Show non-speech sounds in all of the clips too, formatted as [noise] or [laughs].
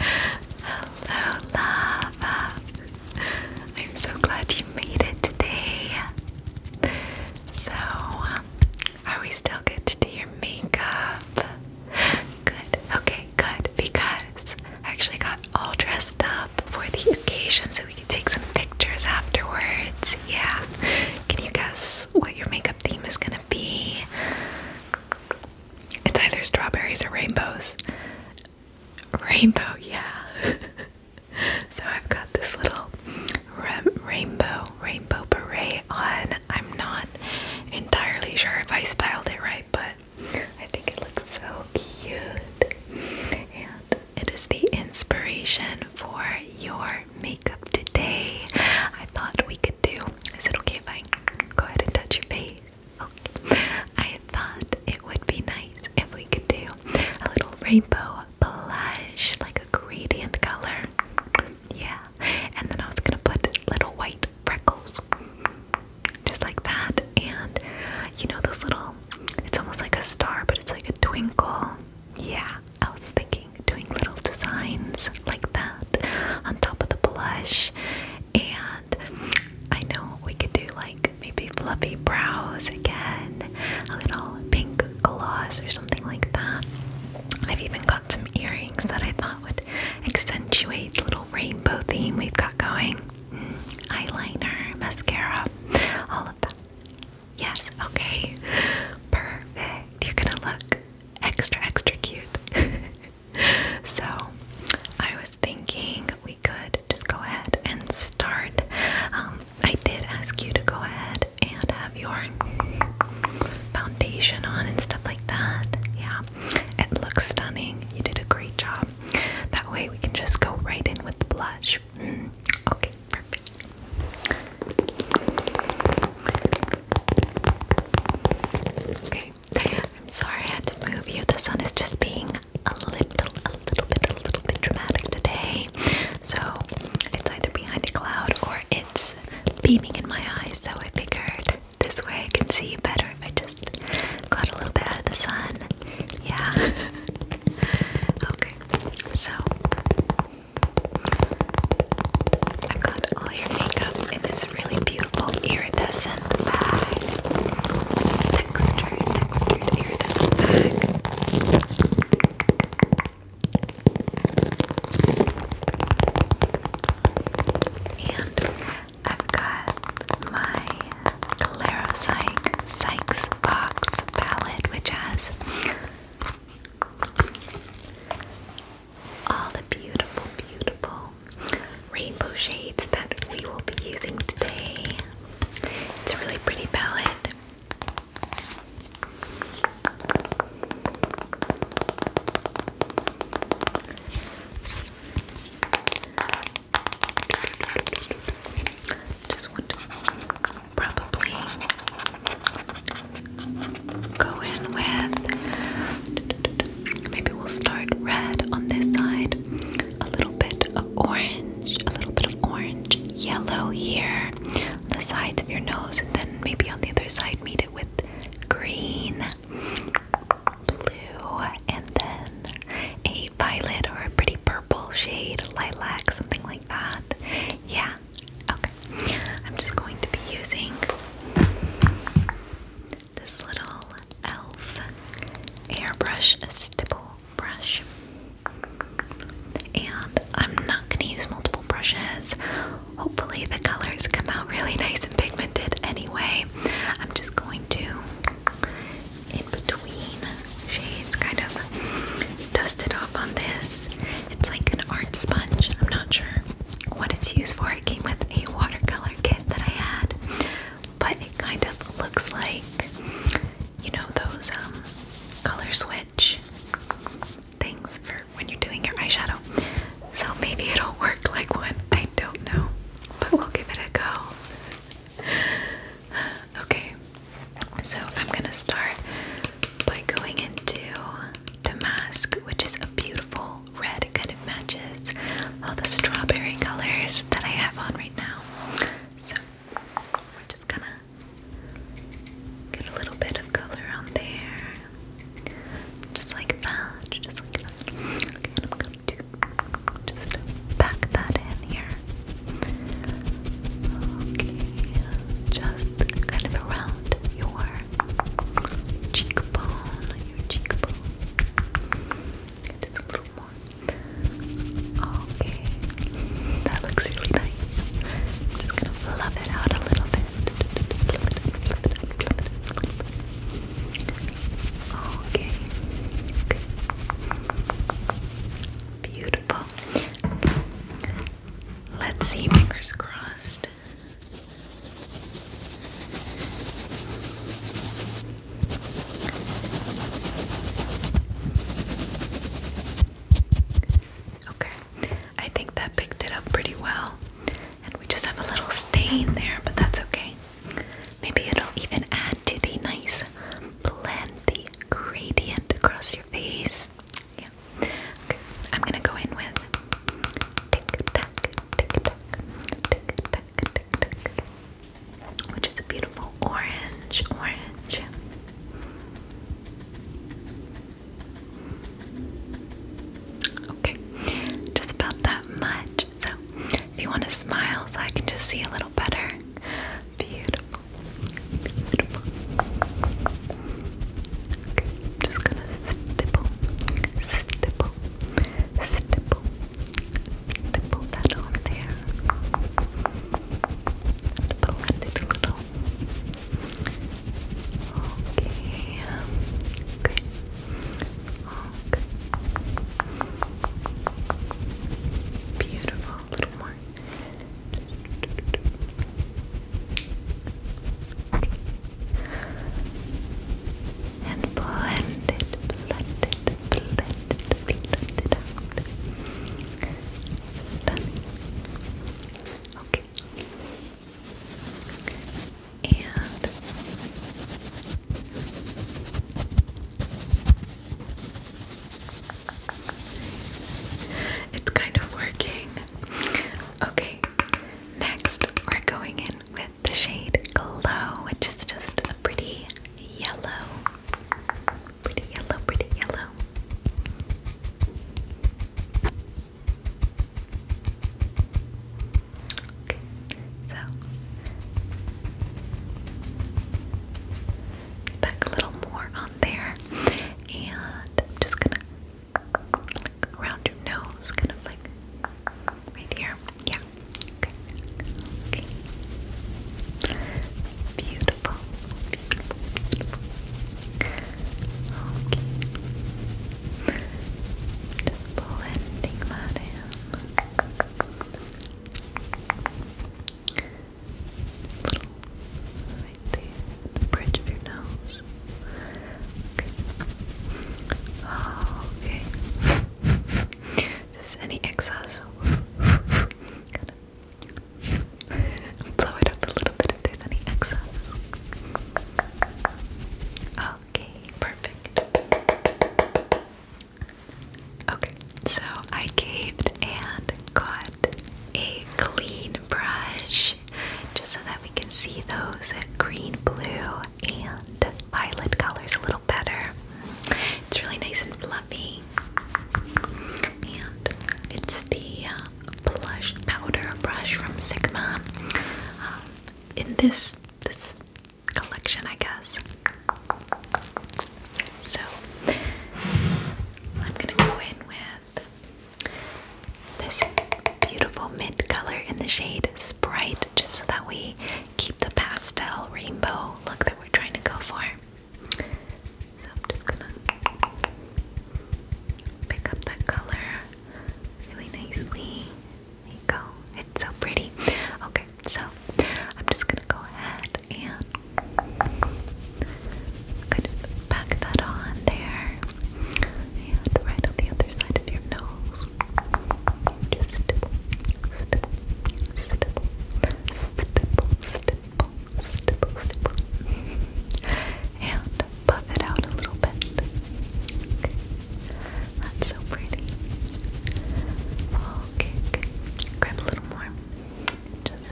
Hello, love. I'm so glad you made it today. So, um, are we still good to do your makeup? Good. Okay, good. Because I actually got all dressed up for the occasion so we could take some pictures afterwards. Yeah. Can you guess what your makeup theme is going to be? It's either strawberries or rainbows. Rainbow, yeah. [laughs] so I've got this little rainbow, rainbow beret on. I'm not entirely sure if I styled it right, but I think it looks so cute. And it is the inspiration for your makeup today. I thought we could do. Is it okay if I go ahead and touch your face? Okay. I thought it would be nice if we could do a little rainbow blush, like a gradient color. Yeah. And then I was gonna put little white freckles. Just like that. And you know those little it's almost like a star, but it's like a twinkle. Yeah. I was thinking doing little designs like that on top of the blush. And I know we could do like maybe fluffy brows again, a little pink gloss or something like that. I've even got some earrings that I thought would accentuate the little rainbow theme we've got going. Mm, eyeliner, mascara, all of that. Yes, okay. Perfect. You're gonna look extra, extra cute. [laughs] [laughs] so I was thinking we could just go ahead and start. Um, I did ask you to go ahead and have your foundation on and stuff like that. Yeah, it looks stunning. You did a great job. That way we can just go right in with the blush. Mm-hmm. Okay, perfect. Okay, I'm sorry I had to move you. The sun is just being a little, a little bit, a little bit dramatic today. So it's either behind a cloud or it's beaming in my eyes. So I figured this way I can see you better if I just got a little bit out of the sun. Yeah. [laughs] okay. So I've got all your makeup in this really beautiful iridescent bag. Textured, textured iridescent bag. And I've got my Claro Sykes, Sykes Box palette, which has all the beautiful, beautiful rainbow shades that we will be using today. It's a really pretty palette. Just want probably go in with. Maybe we'll start red on this side, a little bit of orange, a little bit of orange, yellow here the sides of your nose, and then maybe on the other side, meet it with green, blue, and then a violet or a pretty purple shade, lilac, something like that. Yeah, okay. I'm just going to be using this little e.l.f. airbrush, a stipple brush. And I'm not going to use multiple brushes. Hopefully, the colors come out really nice and pigmented anyway. I'm just going to, in between shades, kind of dust it off on this it's like an art sponge. I'm not sure what it's used for. It came with a watercolor kit that I had, but it kind of looks like you know those um, color switch things for when you're doing your eyeshadow. So maybe it'll work like one. I don't know, but we'll give it a go. [sighs] Okay, so I'm gonna start by going into Damask, which is a beautiful red kind of matches all the strawberry colors that I have on right now. So we're just gonna get a little bit of color on there. Just like that. Just like that. Okay, I'm just back that in here. Okay, just kind of around your cheekbone, your cheekbone. Just a little more. Okay, that looks really nice. just gonna fluff it out a little bit. Okay. Beautiful. Let's see, fingers crossed. Okay, I think that picked it up pretty well. And we just have a little stain there, but that's okay. Maybe it'll even add to the nice blend, the gradient across your face. Yeah. I'm gonna go in with tick tack, tick tack, tick tack, tick tack, which is a beautiful orange, orange. Okay, just about that much. So, if you want to smile, so I can just see a little better. Beautiful, beautiful just gonna stipple, stipple, stipple, stipple that on there. And it a little. Okay. Okay. Okay. Beautiful. A little more and blend it, blend it, blend it, blend it out. Stunning. Okay. And it's kind of working. Okay, Next, we're going in with the shade Glow, which is just a pretty yellow. Pretty yellow, pretty yellow. Okay, so back a little more on there, and I'm just gonna around your nose, kind of like right here. Yeah. Okay. Okay. Beautiful. Beautiful. Beautiful. Okay. Just that in. Little the bridge of your nose. Okay. okay. [laughs] Just any excess. blow it up a little bit if there's any excess. Okay, perfect. Okay, so I caved and got a clean brush just so that we can see those green, blue, and violet colors a little better. It's really nice and fluffy. And it's the plush uh, powder brush from Sigma. Um, in this this collection, I guess. So I'm gonna go in with this beautiful mint color in the shade Sprite, just so that we keep the pastel rainbow look that we're trying to go for. So I'm just gonna pick up that color really nicely. There you go. It's so pretty. Okay, so I'm just gonna go ahead and Good. Pack that on there. And right on the other side of your nose. Just stipple, stipple, stipple, stipple, stipple, stipple, stipple. And puff it out a little bit. That's so pretty. okay. Grab a little more. Just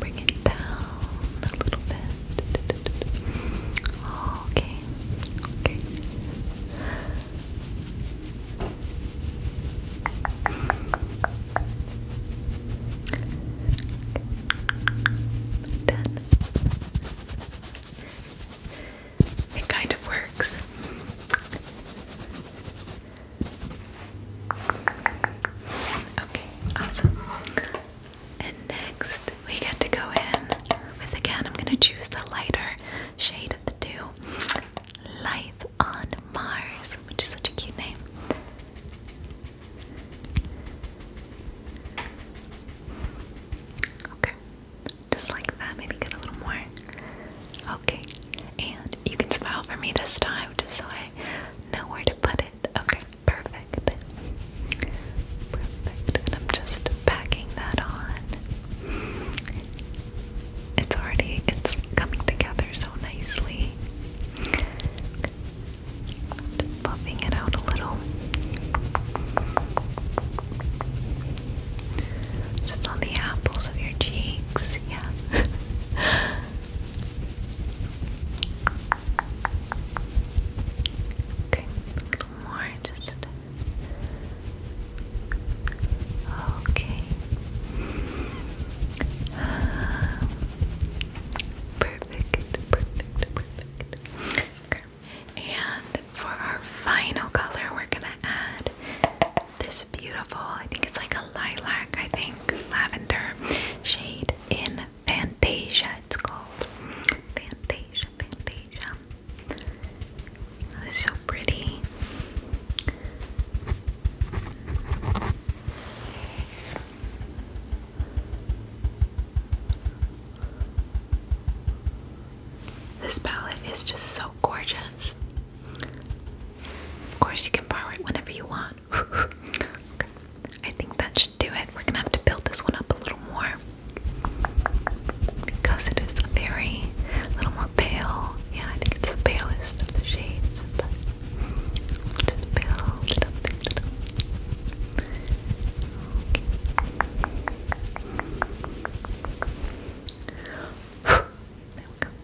bring it down a little bit. Okay, okay. Done. It kind of works. Okay, awesome. And next, we get to go in with again, I'm going to choose the lighter shade of the two Life on Mars, which is such a cute name. Okay, just like that, maybe get a little more. Okay, and you can smile for me this time just so I know where to put it. Okay, Perfect. Perfect. And I'm just packing that on. It's already it's coming together so nicely. buffing it out a little. Just on the apples of your cheeks, yeah. [laughs] Okay, a little more, just okay. perfect, perfect, perfect. And for our final color, we're gonna add this beautiful, I think it's like a lilac, I think, lavender shade in Fantasia, it's called. Fantasia, Fantasia. so pretty. This palette is just so gorgeous. Of course, you can borrow it whenever you want. [laughs] I think that should do it. We're gonna have to build this one up a little more because it is a very a little more pale. Yeah, I think it's the palest of the shades, just build it up, build it There we go.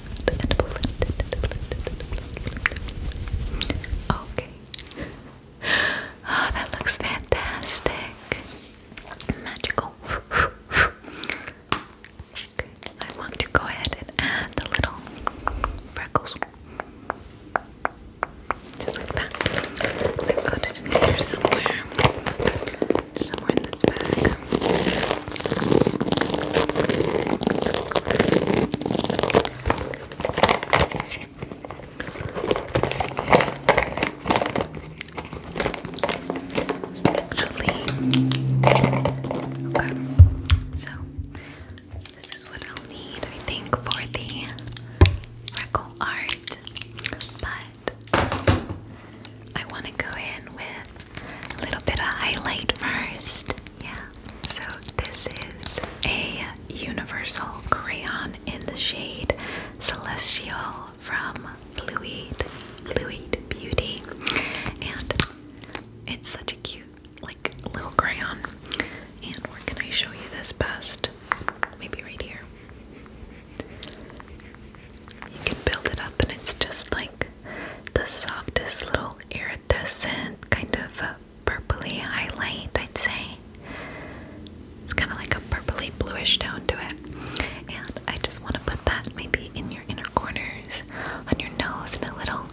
Okay. Oh, that looks fantastic. Magical. I want to go ahead and add a little freckles. Just like that. I've got it in here somewhere. Somewhere in this bag. Actually, okay. So this is what I'll need, think, for the freckle art. But I want to go in with a little bit of highlight first. Yeah. So this is a universal crayon in the shade Celestial from Fluid Fluid Beauty, and it's such a cute like little crayon. And where can I show you this best? Maybe right here. You can build it up, and it's just like the softest little iridescent kind of a purpley highlight, I'd say. It's kind of like a purpley bluish tone to it. And I just want to put that maybe in your inner corners, on your nose, and a little,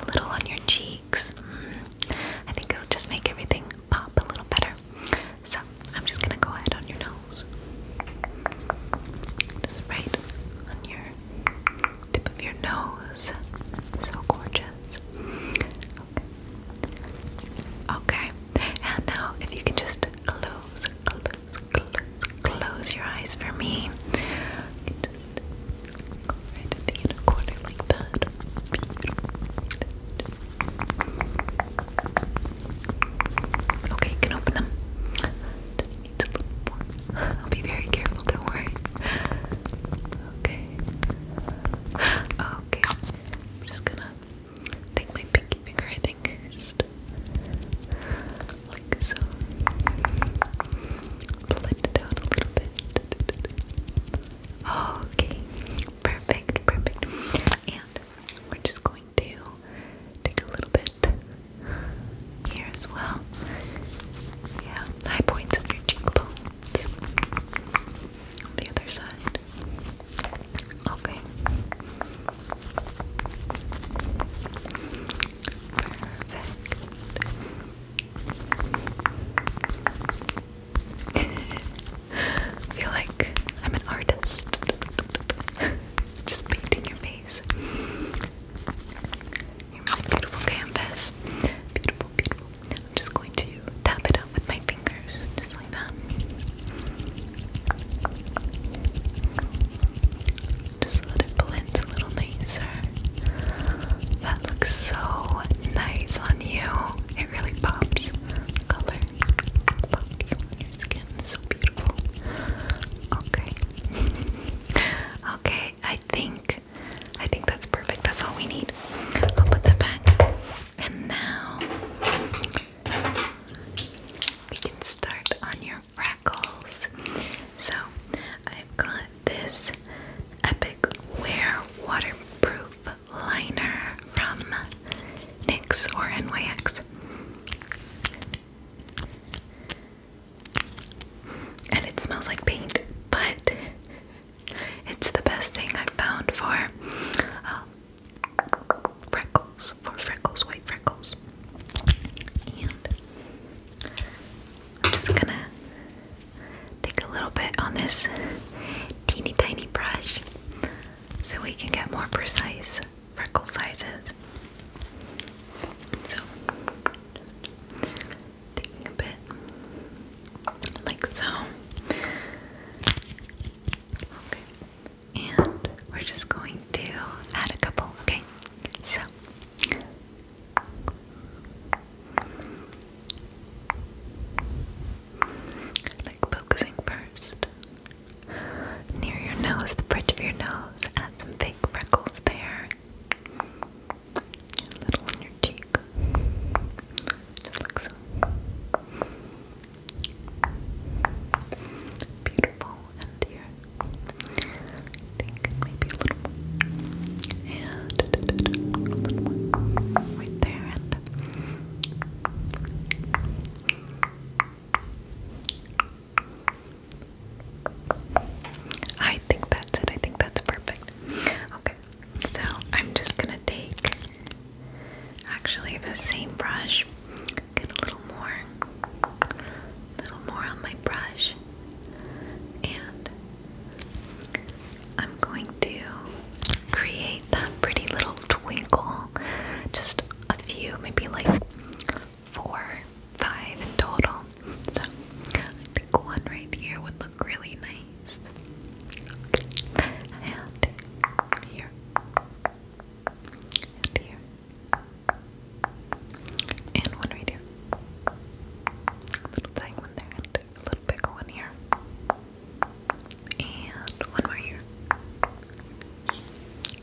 a little on your cheeks. Mm. I think it'll just make everything pop a little better. So I'm just gonna go ahead on your nose right on your tip of your nose. So gorgeous. Okay. And now if you can just close, close, close, your eyes for me. Okay, you can open them. I'll be very careful, don't worry. Okay. Okay. I'm just gonna take my pinky finger, I think, just like so. Blend it out a little bit. Okay. Perfect, perfect. And we're just going to take a little bit here as well. Yeah, high points of your cheekbones. the other side. Okay. I [laughs] feel like I'm an artist. [laughs] Just painting your face face. Here's my beautiful canvas. Beautiful, beautiful. I'm just going to tap it up with my fingers, just like that. Just let it blend a little nicer. That looks so nice on you. It really pops. Color skin so beautiful. Okay. [laughs] okay, I think I think that's perfect. That's all we need. I'll put that back. And now we can start on your freckles. So I've got this epic wear waterproof liner from NYX or NYX and it smells like paint, but it's the best thing I've found for um, freckles, for freckles, white freckles. And I'm just gonna take a little bit on this teeny tiny brush so we can get more precise freckle sizes. So, taking a bit, like so. Okay, and we're just going to add a couple, okay? So. Like focusing first near your nose, the bridge of your nose. Add some fake freckles there. A little on your cheek. Just like so. Beautiful. And here, I think maybe a little more. And a little more. Right there. And I think that's it. I think that's perfect. Okay, so I'm just gonna take actually the same brush, get a little more, little more on my brush, and I'm going to create that pretty little twinkle. Just a few, maybe like four, five in total. So I think one right here would look really nice. And here. And here. And one right here. little tiny one there little bigger one here. And one more here.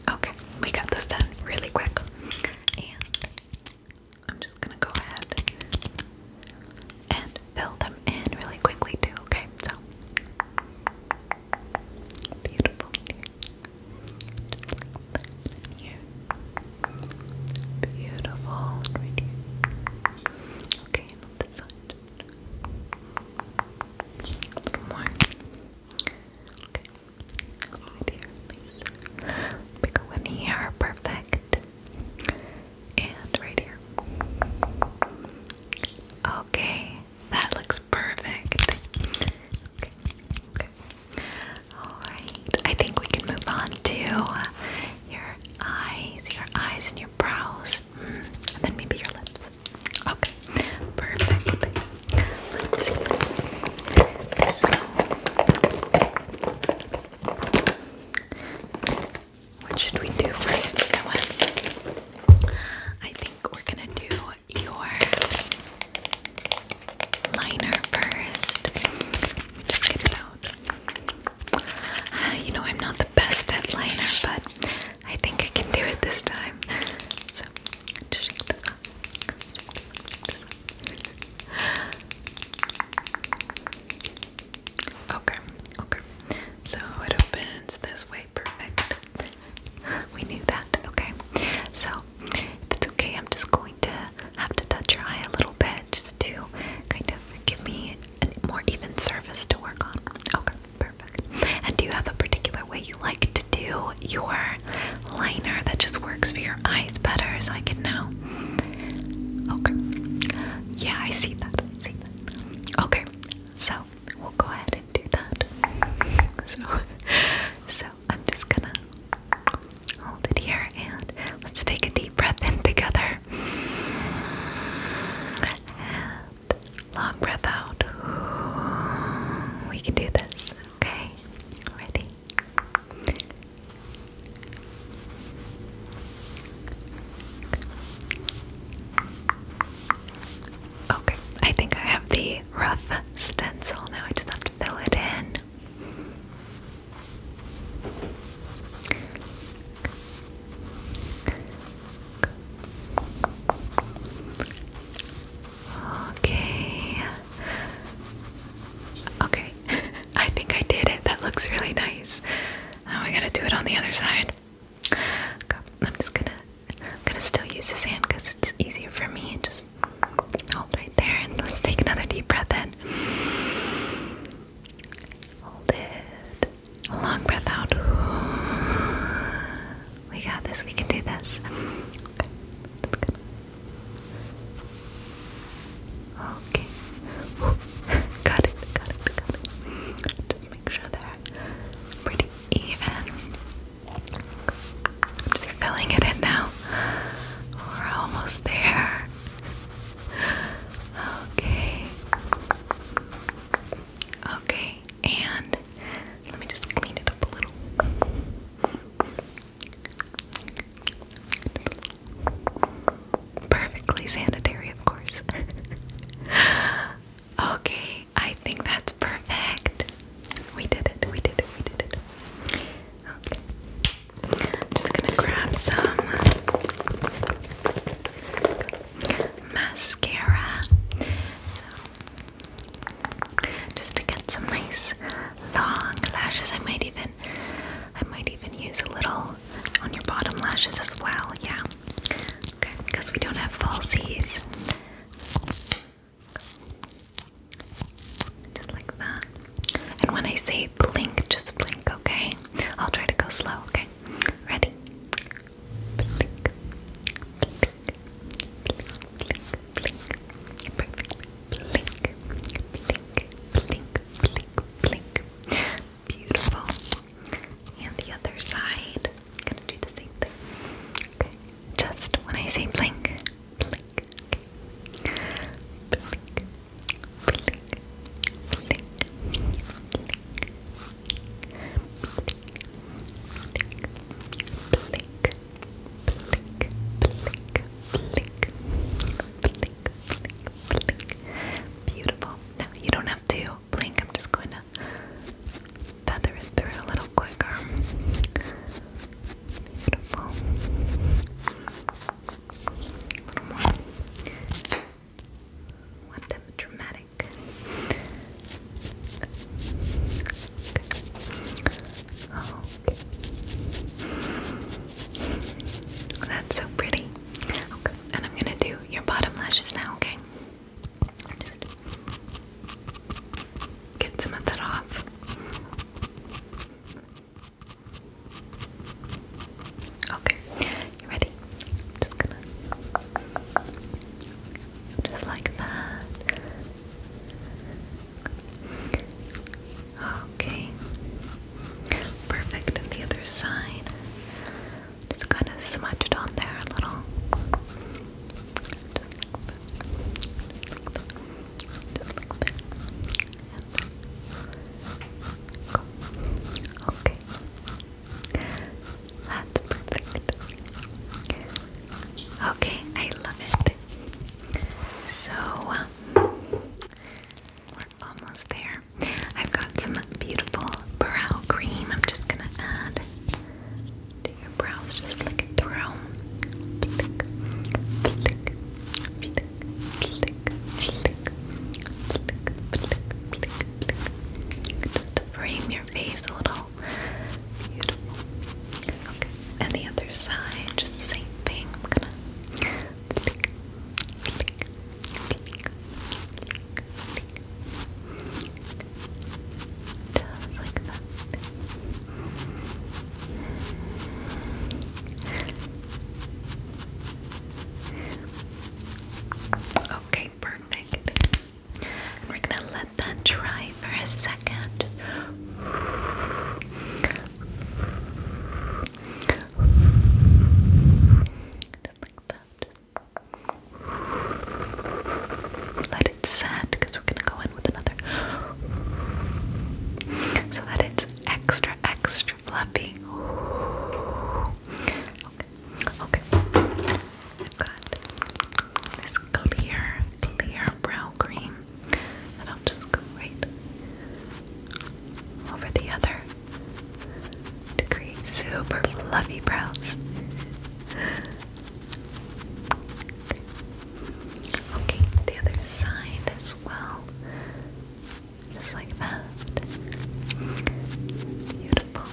Okay, we got this done really quick. And I'm just gonna go ahead and fill them in really quickly too, okay? So beautiful here. here. Beautiful right here. Okay, and side. Okay. Right here, please. Pick one here. Perfect. And right here. Okay. That looks perfect. Alright. I think we can move on to your eyes, your eyes and your brows. Hmm, and then maybe your lips. Okay, perfect. Let's see. So, what should we do first? I think we're gonna do your liner first. just get it out. Uh, you know, I'm not the best at liner, but I think I can do it this time. Okay, okay. So it opens this way, perfect. We knew that, okay. So, if it's okay, I'm just going to have to touch your eye a little bit just to kind of give me a more even surface to work on. Okay. Perfect. And do you have a particular way you like to do your liner that just works for your eyes better so I can know? Okay. Yeah, I see that. see that. Okay. So we'll go ahead and do that. [laughs] So so I'm just gonna hold it here and let's take a deep breath in together. And Long breath out. We can do this, okay? Ready? Okay, I think I have the rough stencil now. I just have to fill it in. Okay. Okay. [laughs] I think I did it. That looks really nice. Now I gotta do it on the other side. I'm just gonna gonna still use this hand because it's easier for me and just hold right there and let's take another deep breath in. Hold it. Long breath out. We got this. We can do this. Okay. That's good. Okay. got it. Got it. Got it. Just make sure they're pretty even. I'm just filling it in now. We're almost there. Okay. Okay. And let me just clean it up a little. Perfectly sanitary, of course. [laughs] okay, I think that's perfect. We did it, we did it, we did it. Okay. I'm just gonna grab some mascara. So, just to get some nice long lashes, I might even, I might even use a little on your bottom lashes as well. Yeah, okay, because we don't have falsies. Just like that. And when I say blink, just blink, okay? I'll try to go slow, okay? Ready? blink, blink, blink, blink, blink. Beautiful. And the other side. gonna do the same thing. Just when I say blink, blink, blink, blink, blink, blink, blink, Beautiful. Now you don't have to blink. I'm just going to feather it through a little quicker. Beautiful. A little more want them dramatic. Oh. That's so pretty. Okay, and I'm gonna do your bottom lashes now, okay? get some of that off. Okay, you ready? just gonna just like that. Okay. Perfect. And the other side. Just kind of smudge it on there a little. Just like that. Just like that. Just like that. Okay. That's perfect. Okay, I love it. So, we're almost there. I've got some beautiful brow cream. I'm just gonna add to your brows. Just flick it through frame your face a little. and the other side, just same thing. I'm gonna Okay, perfect. we're gonna let that dry for a second. Just like that. Let it set because we're gonna go in with another so that it's extra extra fluffy Okay. I've got this clear, clear brow cream that I'll just go right over the other to create super fluffy brows. Okay, the other side as well. Just like that left. Beautiful.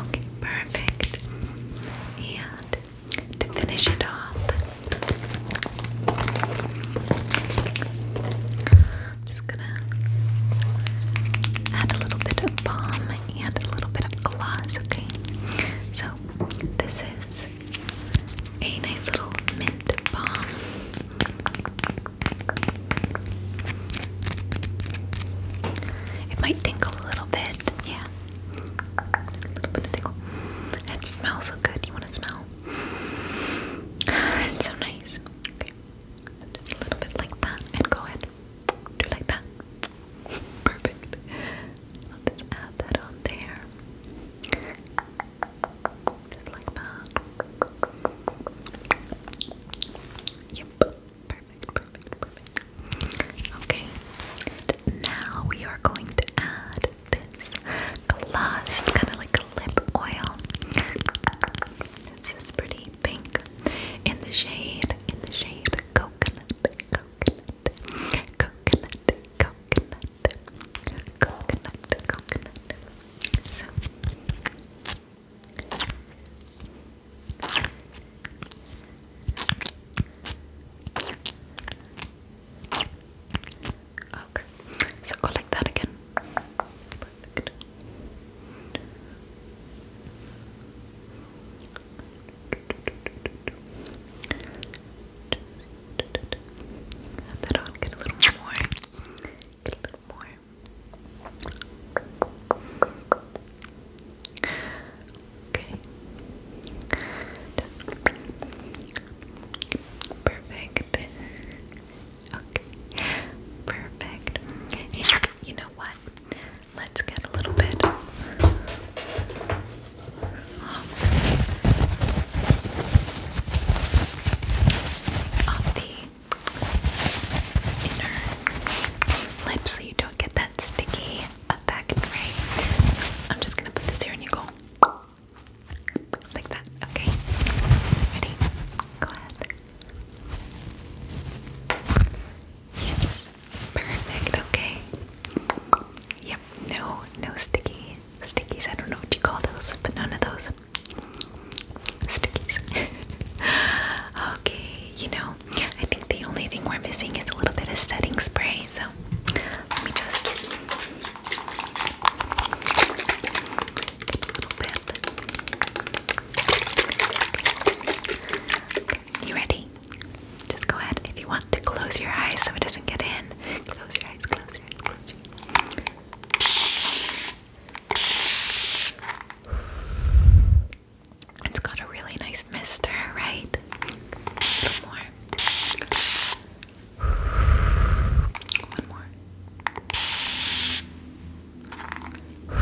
Okay, perfect. And to finish it off, I'm just gonna add a little bit of balm and a little bit of gloss, okay? So, this is a nice little mint balm. It might tingle a little bit, yeah. A little bit of tingle. It smells so good. You want to smell? It's so nice. Okay, just a little bit like that, and go ahead. Do like that. [laughs] Perfect. I'll add that on there. Just like that. Yep. Perfect, perfect, perfect. Okay. now we are going to add this gloss. It's kind of like a lip oil. This is pretty pink. In the shade, in the shade, coconut, coconut, coconut, coconut, coconut, coconut. So Okay, so go like that again. Add that on, get a little more. Get a little more. Okay. Perfect. Okay. Perfect. you know what? Let's get a little bit of the inner lip so you don't get that sticky effect, So I'm just gonna put this here and you go like that. Okay. Ready? Go ahead. Yes. Perfect, okay. Yep, no, no sticky stickies. I don't know what you call those, but none of those stickies. [laughs] okay, you know, I think the only thing we're missing is a little bit of setting spray, so let me just You ready? Just go ahead if you want to close your eyes so it doesn't get in. Close your eyes, close your eyes, close your eyes. It's got a really nice mister, right? A more. One more.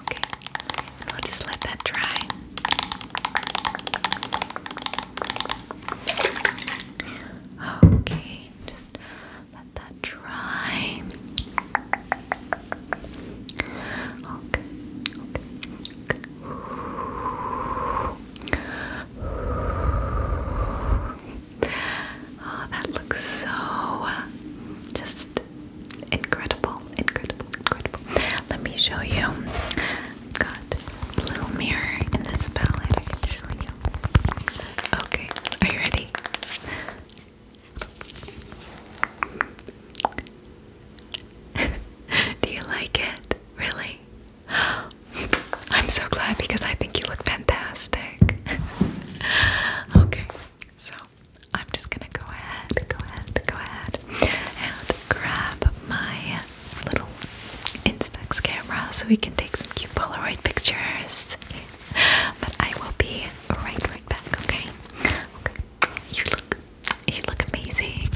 Okay, and will just let that dry. Okay, just let that dry. Okay, Oh, that looks so just incredible, incredible, incredible. Let me show you got little mirror in this palette I can show you. Okay, are you ready? [laughs] Do you like it? Really? [gasps] I'm so glad because I think you look fantastic. [laughs] okay, so I'm just gonna go ahead, go ahead, go ahead, and grab my little Instax camera so we can take some cute Polaroid pictures. but I will be right right back, okay? Okay. You look you look amazing.